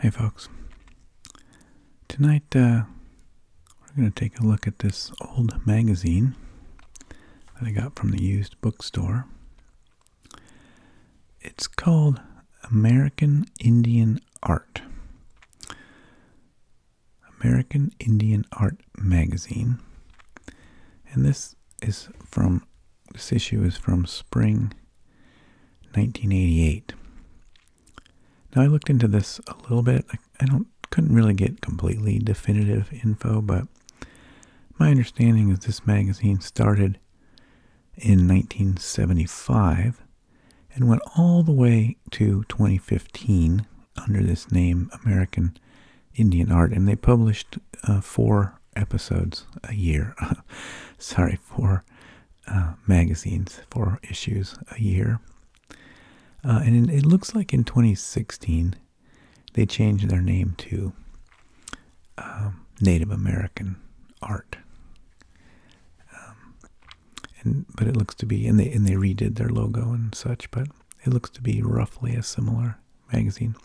Hey folks. Tonight uh, we're going to take a look at this old magazine that I got from the used bookstore. It's called American Indian Art. American Indian Art Magazine. And this is from this issue is from spring 1988. Now I looked into this a little bit. I don't couldn't really get completely definitive info, but my understanding is this magazine started in 1975 and went all the way to 2015 under this name American Indian Art, and they published uh, four episodes a year. Sorry, for uh, magazines, four issues a year. Uh, and it, looks like in 2016 they changed their name to um, Native American Art. Um, and but it looks to be and they and they redid their logo and such, but it looks to be roughly as similar magazine.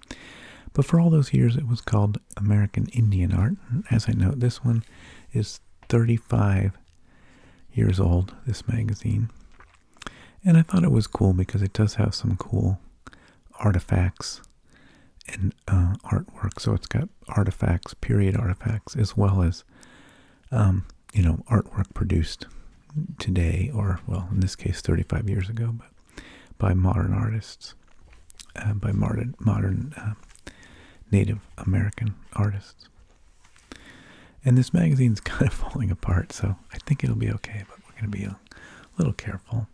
But for all those years, it was called American Indian Art. As I note, this one is 35 years old, this magazine. And I thought it was cool because it does have some cool artifacts and uh, artwork. So it's got artifacts, period artifacts, as well as, um, you know, artwork produced today or, well, in this case, 35 years ago by modern artists, uh, by modern modern uh, Native American artists. And this magazine is kind of falling apart, so I think it'll be okay. But we're going to be a little careful.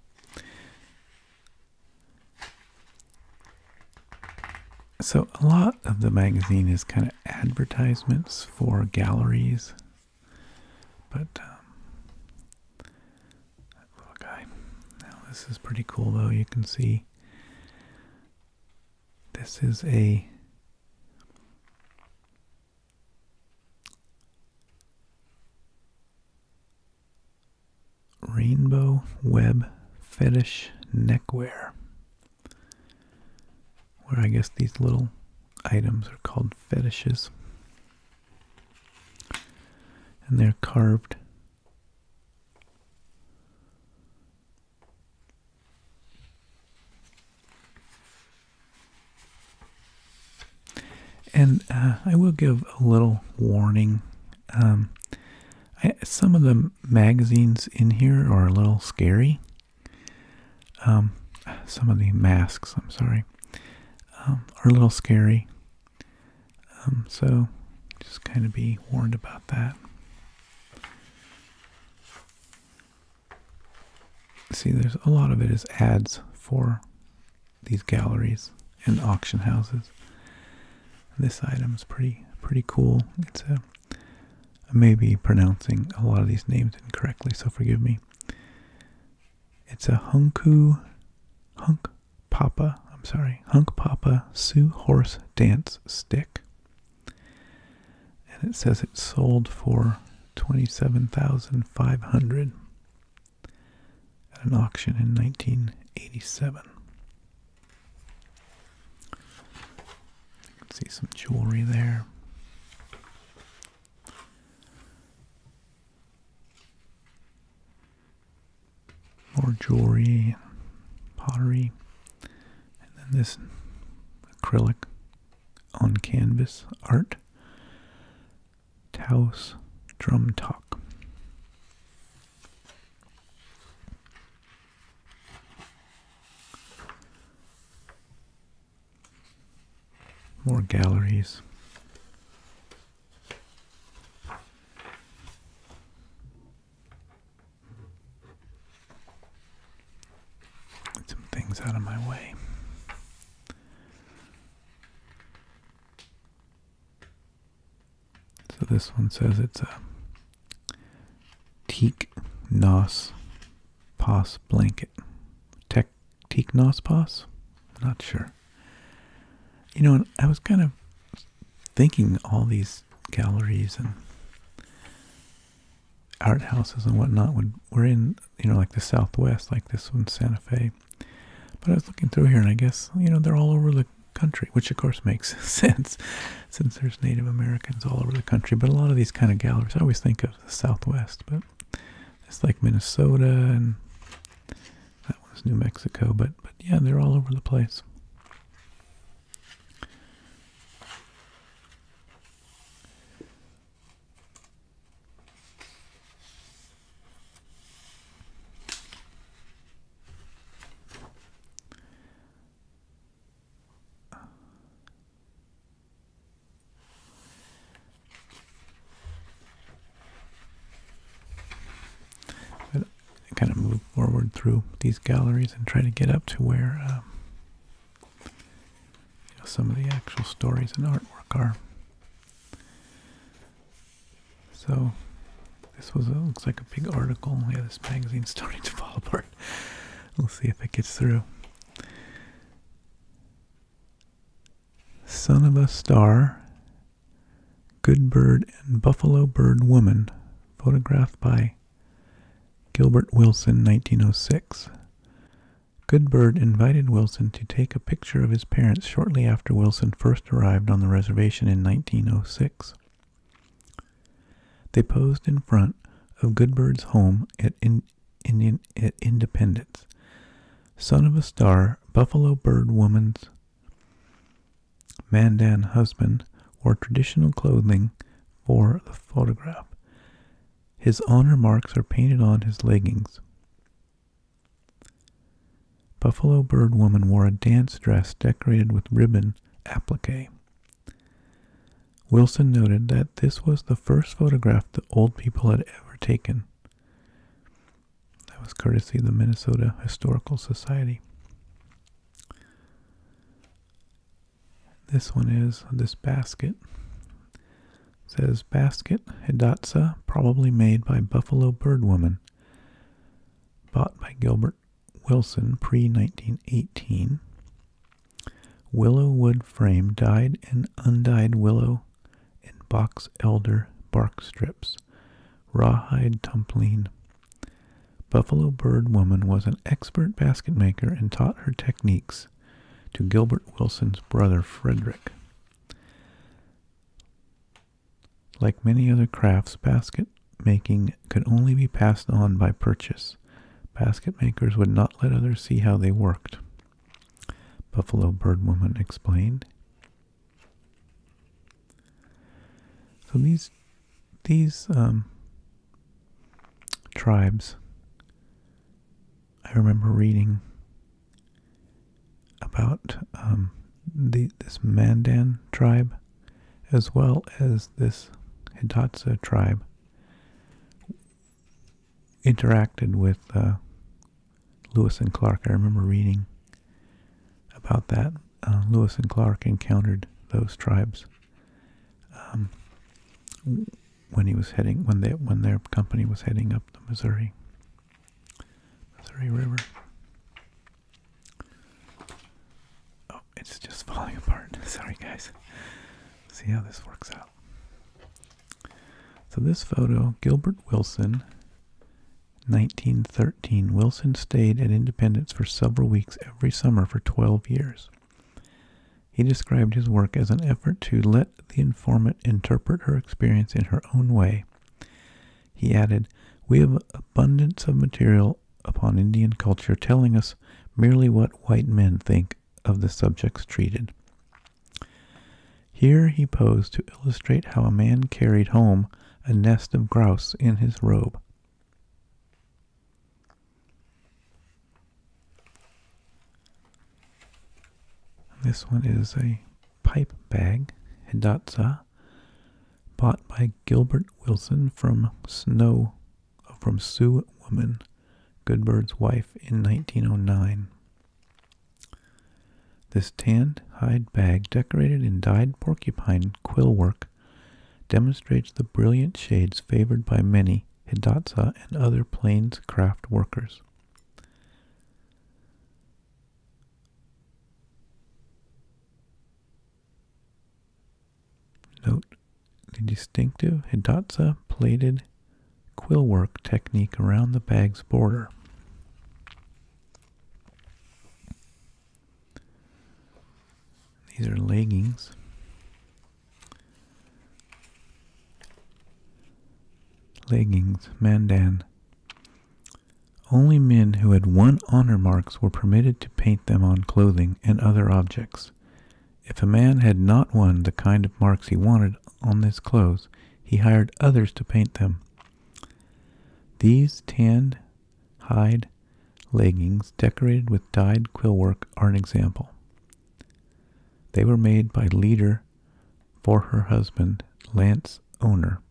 So a lot of the magazine is kind of advertisements for galleries, but um, that little guy. Now this is pretty cool though. You can see this is a rainbow web fetish neckwear where I guess these little items are called fetishes and they're carved. And uh, I will give a little warning. Um, some of the magazines in here are a little scary. Um, some of the masks, I'm sorry, um, are a little scary. Um, so just kind of be warned about that. See, there's a lot of it is ads for these galleries and auction houses. This item is pretty pretty cool. It's a uh, I may be pronouncing a lot of these names incorrectly, so forgive me. It's a hunku, hunk papa, I'm sorry, hunk papa Sioux horse dance stick. And it says it sold for 27500 at an auction in 1987. see some jewelry there more jewelry pottery. And then this acrylic on canvas art. Taos Drum Talk. More galleries. Get some things out of my way. So this one says it's a teak nos pos blanket. Tech teak nos pos? Not sure. You know, I was kind of thinking all these galleries and art houses and whatnot would we're in, you know, like the Southwest, like this one, in Santa Fe. But I was looking through here, and I guess you know they're all over the country, which of course makes sense since there's Native Americans all over the country. But a lot of these kind of galleries, I always think of the Southwest, but it's like Minnesota and that was New Mexico, but but yeah, they're all over the place kind of move forward through these galleries and try to get up to where um, some of the actual stories and artwork are. So this was a, looks like a big article. Yeah, this magazine starting to fall apart. we'll see if it gets through. Son of a Star Good Bird and Buffalo Bird Woman, photographed by Gilbert Wilson, 1906. Good Bird invited Wilson to take a picture of his parents shortly after Wilson first arrived on the reservation in 1906. They posed in front of Good Bird's home at Independence. Son of a Star, Buffalo Bird Woman's Mandan husband wore traditional clothing for the photograph. His honor marks are painted on his leggings. Buffalo Bird Woman wore a dance dress decorated with ribbon applique. Wilson noted that this was the first photograph the old people had ever taken. That was courtesy of the Minnesota Historical Society. This one is this basket. says basket hidatsa, probably made by Buffalo Bird Woman. Bought by Gilbert Wilson pre 1918. Willow wood frame dyed and undyed willow and box elder bark strips Rawhide Tumpling. Buffalo Bird Woman was an expert basket maker and taught her techniques to Gilbert Wilson's brother Frederick. Like many other crafts, basket making could only be passed on by purchase. Basket makers would not let others see how they worked. Buffalo Bird Woman explained. So these these um, tribes, I remember reading about um, the this Mandan tribe, as well as this Hidatsa tribe, interacted with uh, Lewis and Clark. I remember reading about that. Uh, Lewis and Clark encountered those tribes um, when he was heading when they when their company was heading up the Missouri Missouri River. Oh, it's just falling apart. Sorry, guys. See how this works out. So this photo, Gilbert Wilson 1913, Wilson stayed at Independence for several weeks every summer for 12 years. He described his work as an effort to let the informant interpret her experience in her own way. He added, We have abundance of material upon Indian culture telling us merely what white men think of the subjects treated. Here he posed to illustrate how a man carried home a nest of grouse in his robe. This one is a pipe bag, Hidatsa, bought by Gilbert Wilson from Snow, from Sioux Woman, Goodbird's wife, in 1909. This tanned hide bag, decorated in dyed porcupine quill work, demonstrates the brilliant shades favored by many Hidatsa and other plains craft workers. Note the distinctive Hidatsa plated quill work technique around the bag's border. These are leggings. Leggings, Mandan. Only men who had won honor marks were permitted to paint them on clothing and other objects. If a man had not won the kind of marks he wanted on his clothes, he hired others to paint them. These tanned hide, leggings decorated with dyed quillwork are an example. They were made by Leader for her husband, Lance Owner,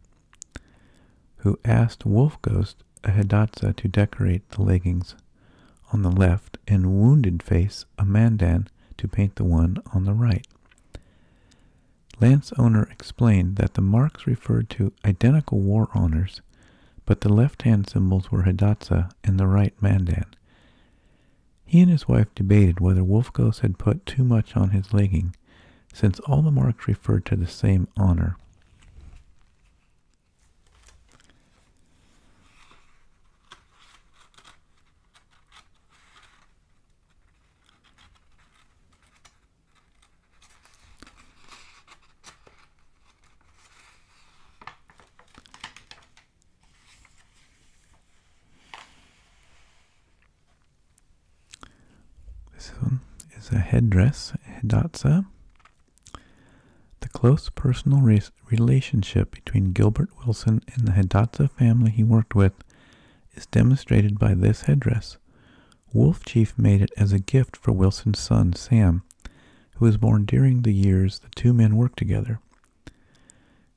who asked Wolf Ghost, a Hidatsa, to decorate the leggings on the left and Wounded Face, a Mandan, to paint the one on the right. Lance Owner explained that the marks referred to identical war honors, but the left-hand symbols were Hidatsa and the right Mandan. He and his wife debated whether Wolfgos had put too much on his legging, since all the marks referred to the same honor. This one is a headdress, Hidatsa. The close personal relationship between Gilbert Wilson and the Hidatsa family he worked with is demonstrated by this headdress, Wolf Chief made it as a gift for Wilson's son, Sam, who was born during the years the two men worked together.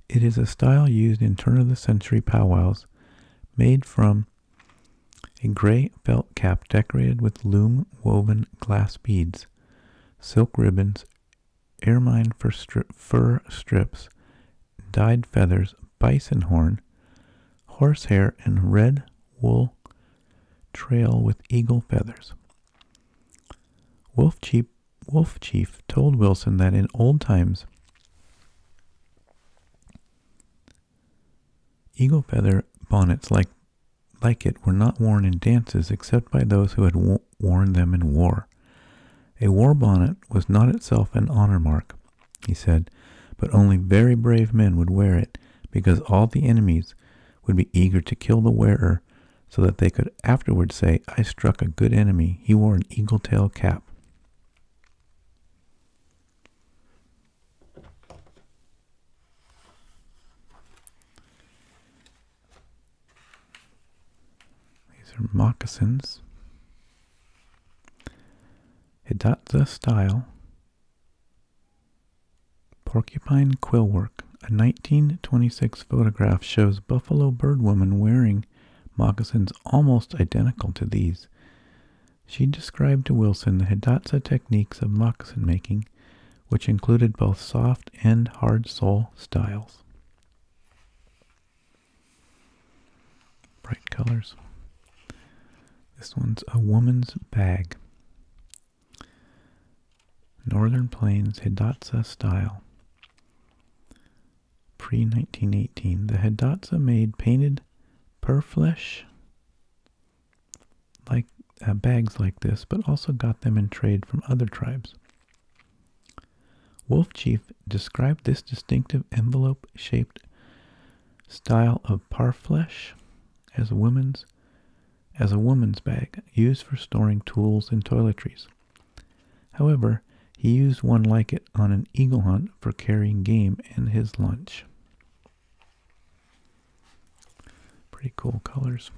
It is a style used in turn-of-the-century powwows, made from a gray felt cap decorated with loom-woven glass beads, silk ribbons, ermine fur, strips, dyed feathers, bison horn, horsehair, and red wool trail with eagle feathers. Wolf Chief, Wolf Chief told Wilson that in old times, eagle feather bonnets like, like it were not worn in dances except by those who had worn them in war. A war bonnet was not itself an honor mark, he said, but only very brave men would wear it because all the enemies would be eager to kill the wearer so that they could afterward say, I struck a good enemy. He wore an eagle tail cap. These are moccasins. Hidatsa style Porcupine Quillwork, a 1926 photograph shows buffalo bird woman wearing moccasins almost identical to these. She described to Wilson the Hidatsa techniques of moccasin making, which included both soft and hard sole styles. Bright colors. This one's a woman's bag. Northern Plains Hidatsa style. Pre 1918, the Hidatsa made painted perflesh like uh, bags like this, but also got them in trade from other tribes. Wolf Chief described this distinctive envelope-shaped style of parflesh as a woman's as a woman's bag used for storing tools and toiletries. However, he used one like it on an eagle hunt for carrying game and his lunch. Pretty cool colors.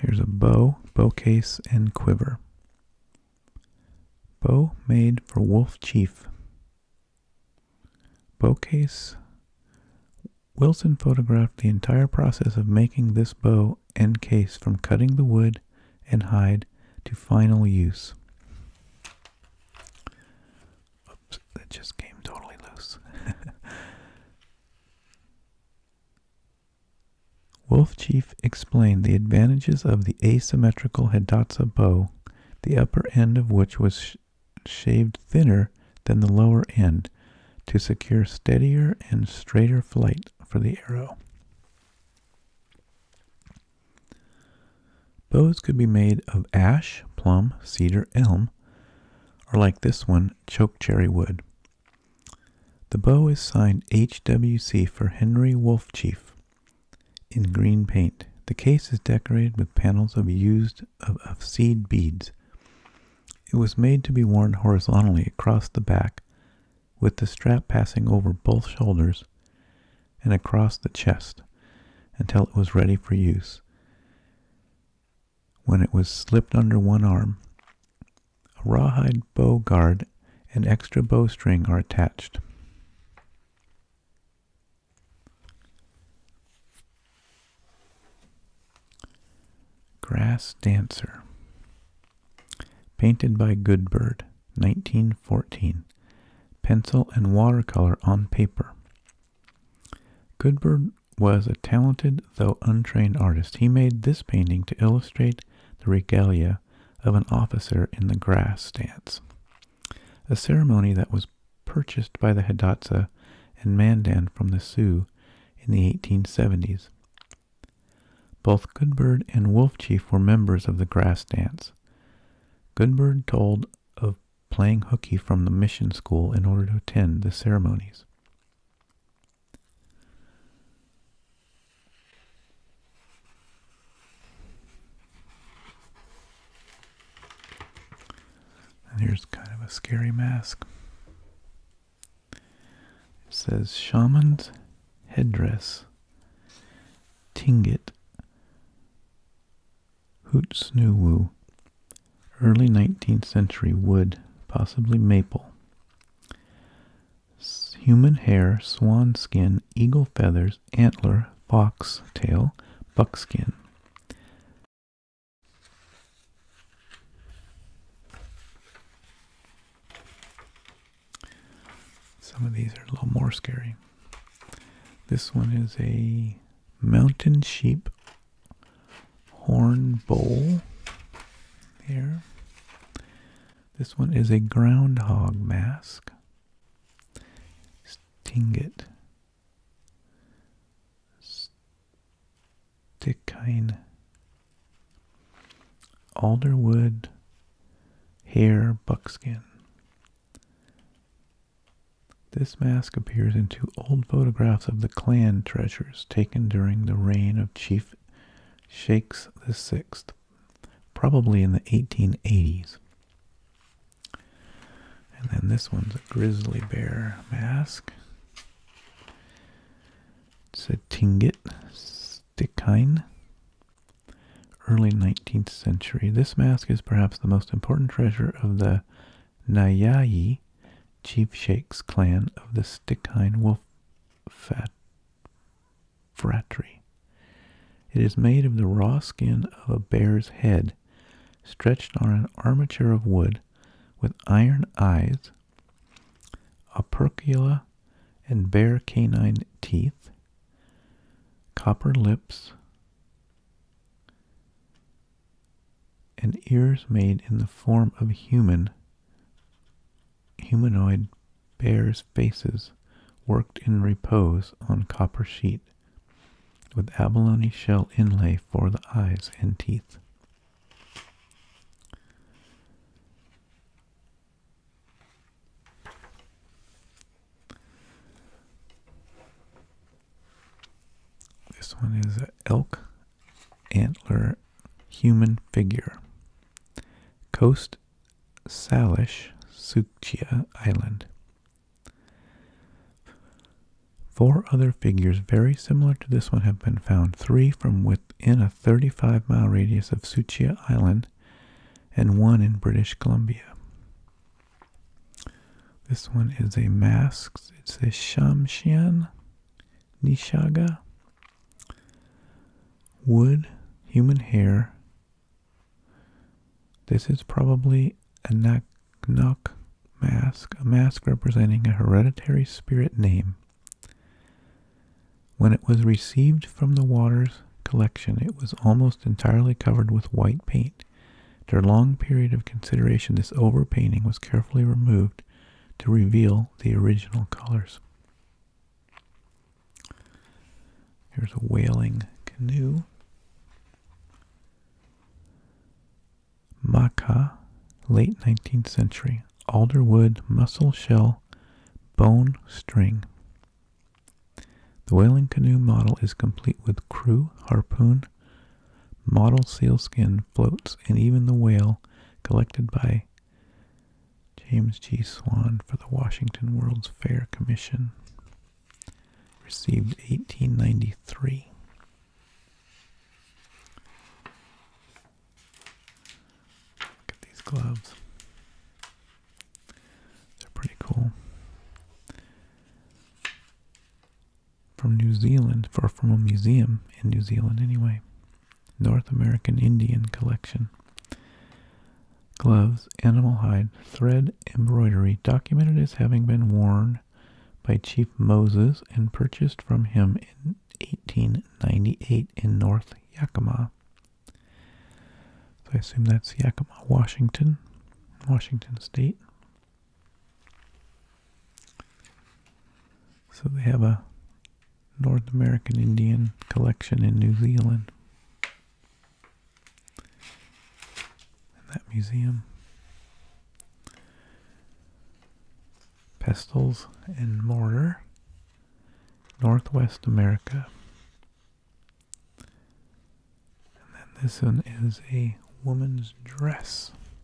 Here's a bow, bow case, and quiver. Bow made for wolf chief. Bow case. Wilson photographed the entire process of making this bow and case from cutting the wood and hide to final use. Oops, that just came totally loose. Wolf Chief explained the advantages of the asymmetrical Hidatsa bow, the upper end of which was shaved thinner than the lower end, to secure steadier and straighter flight for the arrow. Bows could be made of ash, plum, cedar, elm, or like this one, choke cherry wood. The bow is signed HWC for Henry Wolf Chief, in green paint. The case is decorated with panels of used of, of seed beads. It was made to be worn horizontally across the back, with the strap passing over both shoulders and across the chest until it was ready for use when it was slipped under one arm. A rawhide bow guard and extra bowstring are attached. Grass Dancer Painted by Goodbird, 1914. Pencil and watercolor on paper. Goodbird was a talented though untrained artist. He made this painting to illustrate the regalia of an officer in the grass dance, a ceremony that was purchased by the Hidatsa and Mandan from the Sioux in the 1870s. Both Goodbird and Wolf Chief were members of the grass dance. Goodbird told of playing hooky from the mission school in order to attend the ceremonies. And here's kind of a scary mask. It says Shaman's Headdress, Tingit, Hootsnuwu, Early 19th century wood, possibly maple. Human hair, swan skin, eagle feathers, antler, fox tail, buckskin. Some of these are a little more scary. This one is a mountain sheep horn bowl here. This one is a groundhog mask. Stingit. Stickine. Alderwood. Hair buckskin. This mask appears in two old photographs of the clan treasures taken during the reign of Chief, Shakes the Sixth, probably in the 1880s. And then this one's a grizzly bear mask. It's a tingit Stikine, early 19th century. This mask is perhaps the most important treasure of the Nayayi Chief Sheik's clan of the Stikine Wolf Fat Fratry. It is made of the raw skin of a bear's head, stretched on an armature of wood, with iron eyes, opercula, and bare canine teeth, copper lips, and ears made in the form of human humanoid bears' faces worked in repose on copper sheet with abalone shell inlay for the eyes and teeth. This one is an elk antler human figure. Coast Salish, Sukhtia Island. Four other figures very similar to this one have been found, three from within a 35 mile radius of Sukhtia Island, and one in British Columbia. This one is a mask, it's a Shamshian Nishaga Wood, human hair. This is probably a Naknak mask, a mask representing a hereditary spirit name. When it was received from the waters collection, it was almost entirely covered with white paint. After a long period of consideration, this overpainting was carefully removed to reveal the original colors. Here's a whaling canoe. Maca, late 19th century, alder wood, mussel shell, bone string. The whaling canoe model is complete with crew, harpoon, model sealskin floats, and even the whale collected by James G. Swan for the Washington World's Fair Commission, received 1893. Look at these gloves. They're pretty cool. From New Zealand, or from a museum in New Zealand anyway. North American Indian Collection. Gloves, animal hide, thread, embroidery, documented as having been worn by Chief Moses and purchased from him in 1898 in North Yakima. So I assume that's Yakima, Washington, Washington State. So they have a North American Indian collection in New Zealand. And that museum. Pestles and mortar. Northwest America. And then this one is a woman's dress.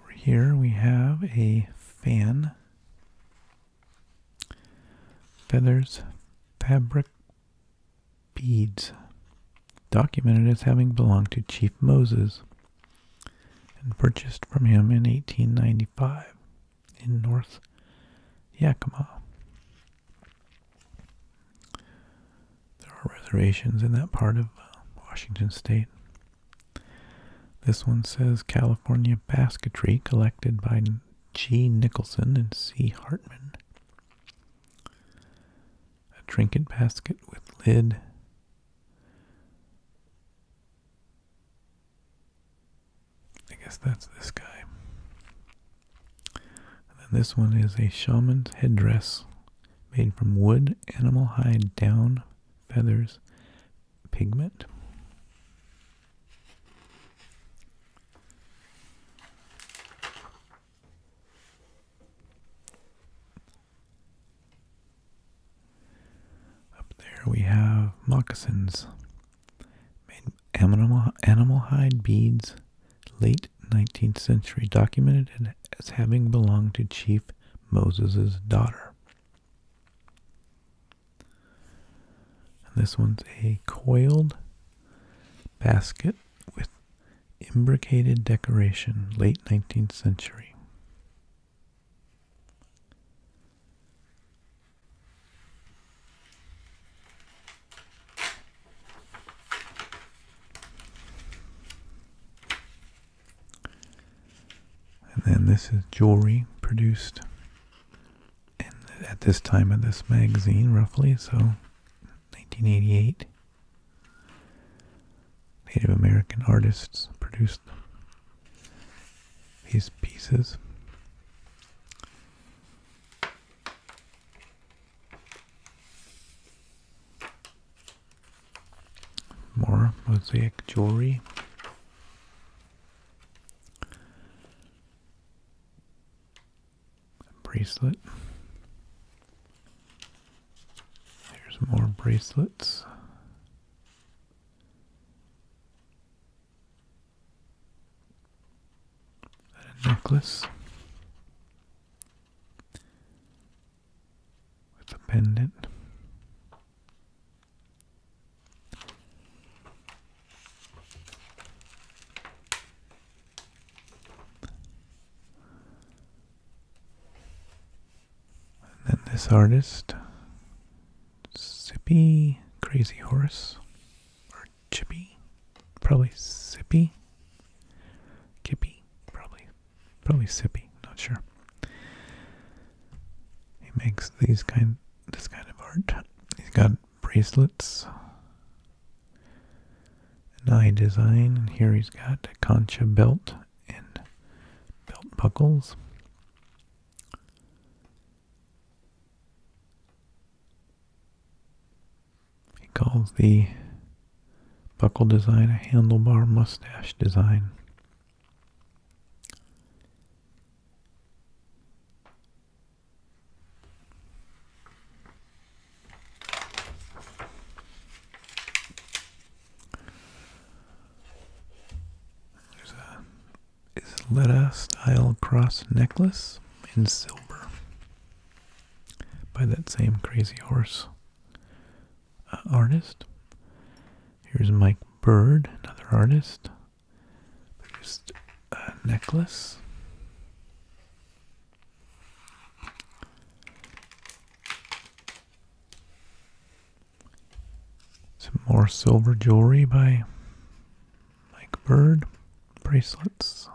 Over here we have a fan. Feathers, fabric, beads. Documented as having belonged to Chief Moses and purchased from him in 1895 in North Yakima. There are reservations in that part of uh, Washington state. This one says California Basketry, collected by G. Nicholson and C. Hartman. A trinket basket with lid. I guess that's this guy. And then this one is a shaman's headdress made from wood, animal hide, down, feathers, pigment. Up there we have moccasins made animal, animal hide beads, late 19th century, documented as having belonged to Chief Moses's daughter. And this one's a coiled basket with imbricated decoration, late 19th century. And then this is jewelry produced in, at this time of this magazine, roughly, so 1988. Native American artists produced these pieces. More mosaic jewelry bracelet. There's more bracelets. a necklace with a pendant. And then this artist, Sippy Crazy Horse, or Chippy, probably Sippy, Kippy, probably, probably Sippy, not sure. He makes these kind this kind of art. He's got bracelets. An eye design, and here he's got a concha belt and belt buckles. He calls the buckle design a handlebar mustache design. There's a Isleta style cross necklace in silver by that same crazy horse uh, artist. Here's Mike Bird, another artist. Produced a necklace. Some more silver jewelry by Mike Bird. Bracelets.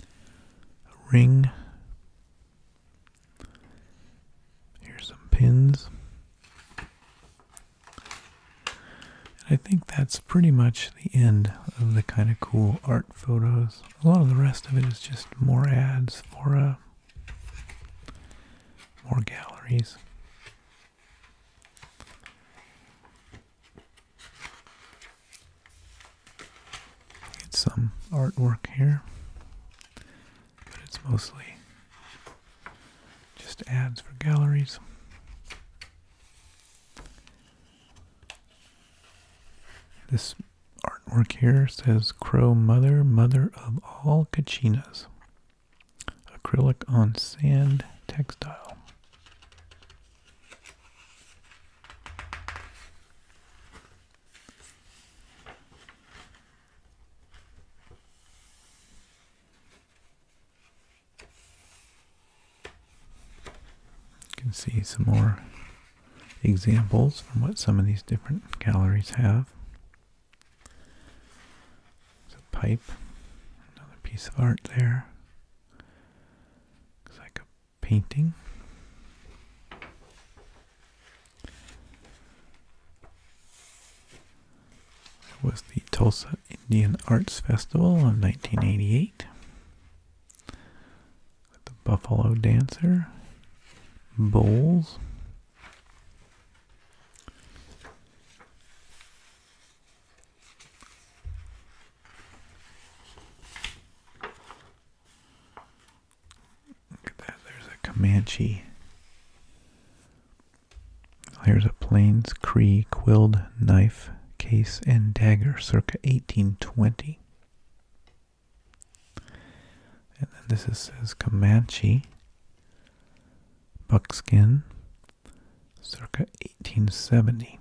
A ring. Here's some pins. And I think that's pretty much the end of the kind of cool art photos. A lot of the rest of it is just more ads for uh, more galleries. Get some artwork here but it's mostly just ads for galleries. This artwork here says Crow Mother, Mother of All Kachinas. Acrylic on sand textile. You can see some more examples from what some of these different galleries have. There's a pipe, another piece of art there. Looks like a painting. There was the Tulsa Indian Arts Festival of 1988 with the Buffalo Dancer, Bowls. Look at that, there's a Comanche Here's a Plains Cree quilled knife, case, and dagger, circa 1820. And then this is, says Comanche buckskin, circa 1870.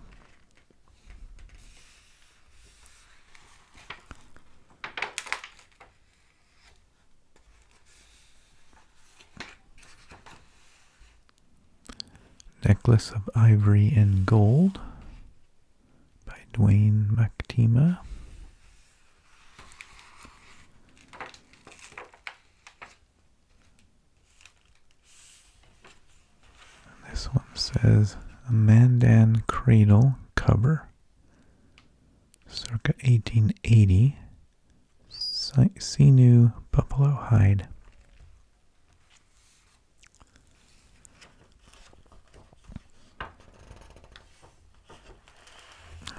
Necklace of Ivory and Gold by Dwayne Mactima. this one says a Mandan Cradle cover, circa 1880, See new Buffalo Hide.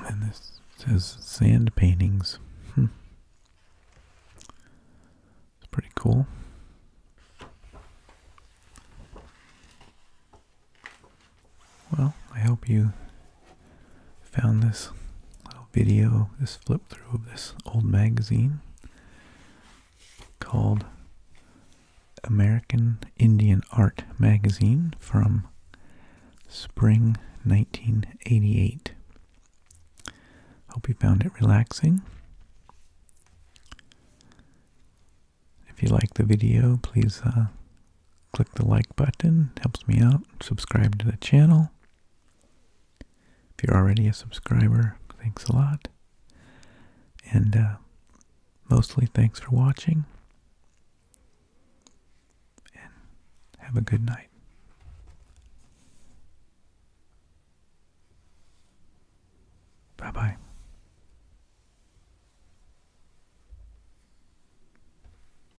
And this says sand paintings. Hmm. It's pretty cool. Well, I hope you found this little video, this flip through of this old magazine called American Indian Art Magazine from spring 1988. Hope you found it relaxing. If you like the video, please uh, click the like button, helps me out. Subscribe to the channel. If you're already a subscriber, thanks a lot. And uh, mostly thanks for watching. And have a good night. Bye-bye.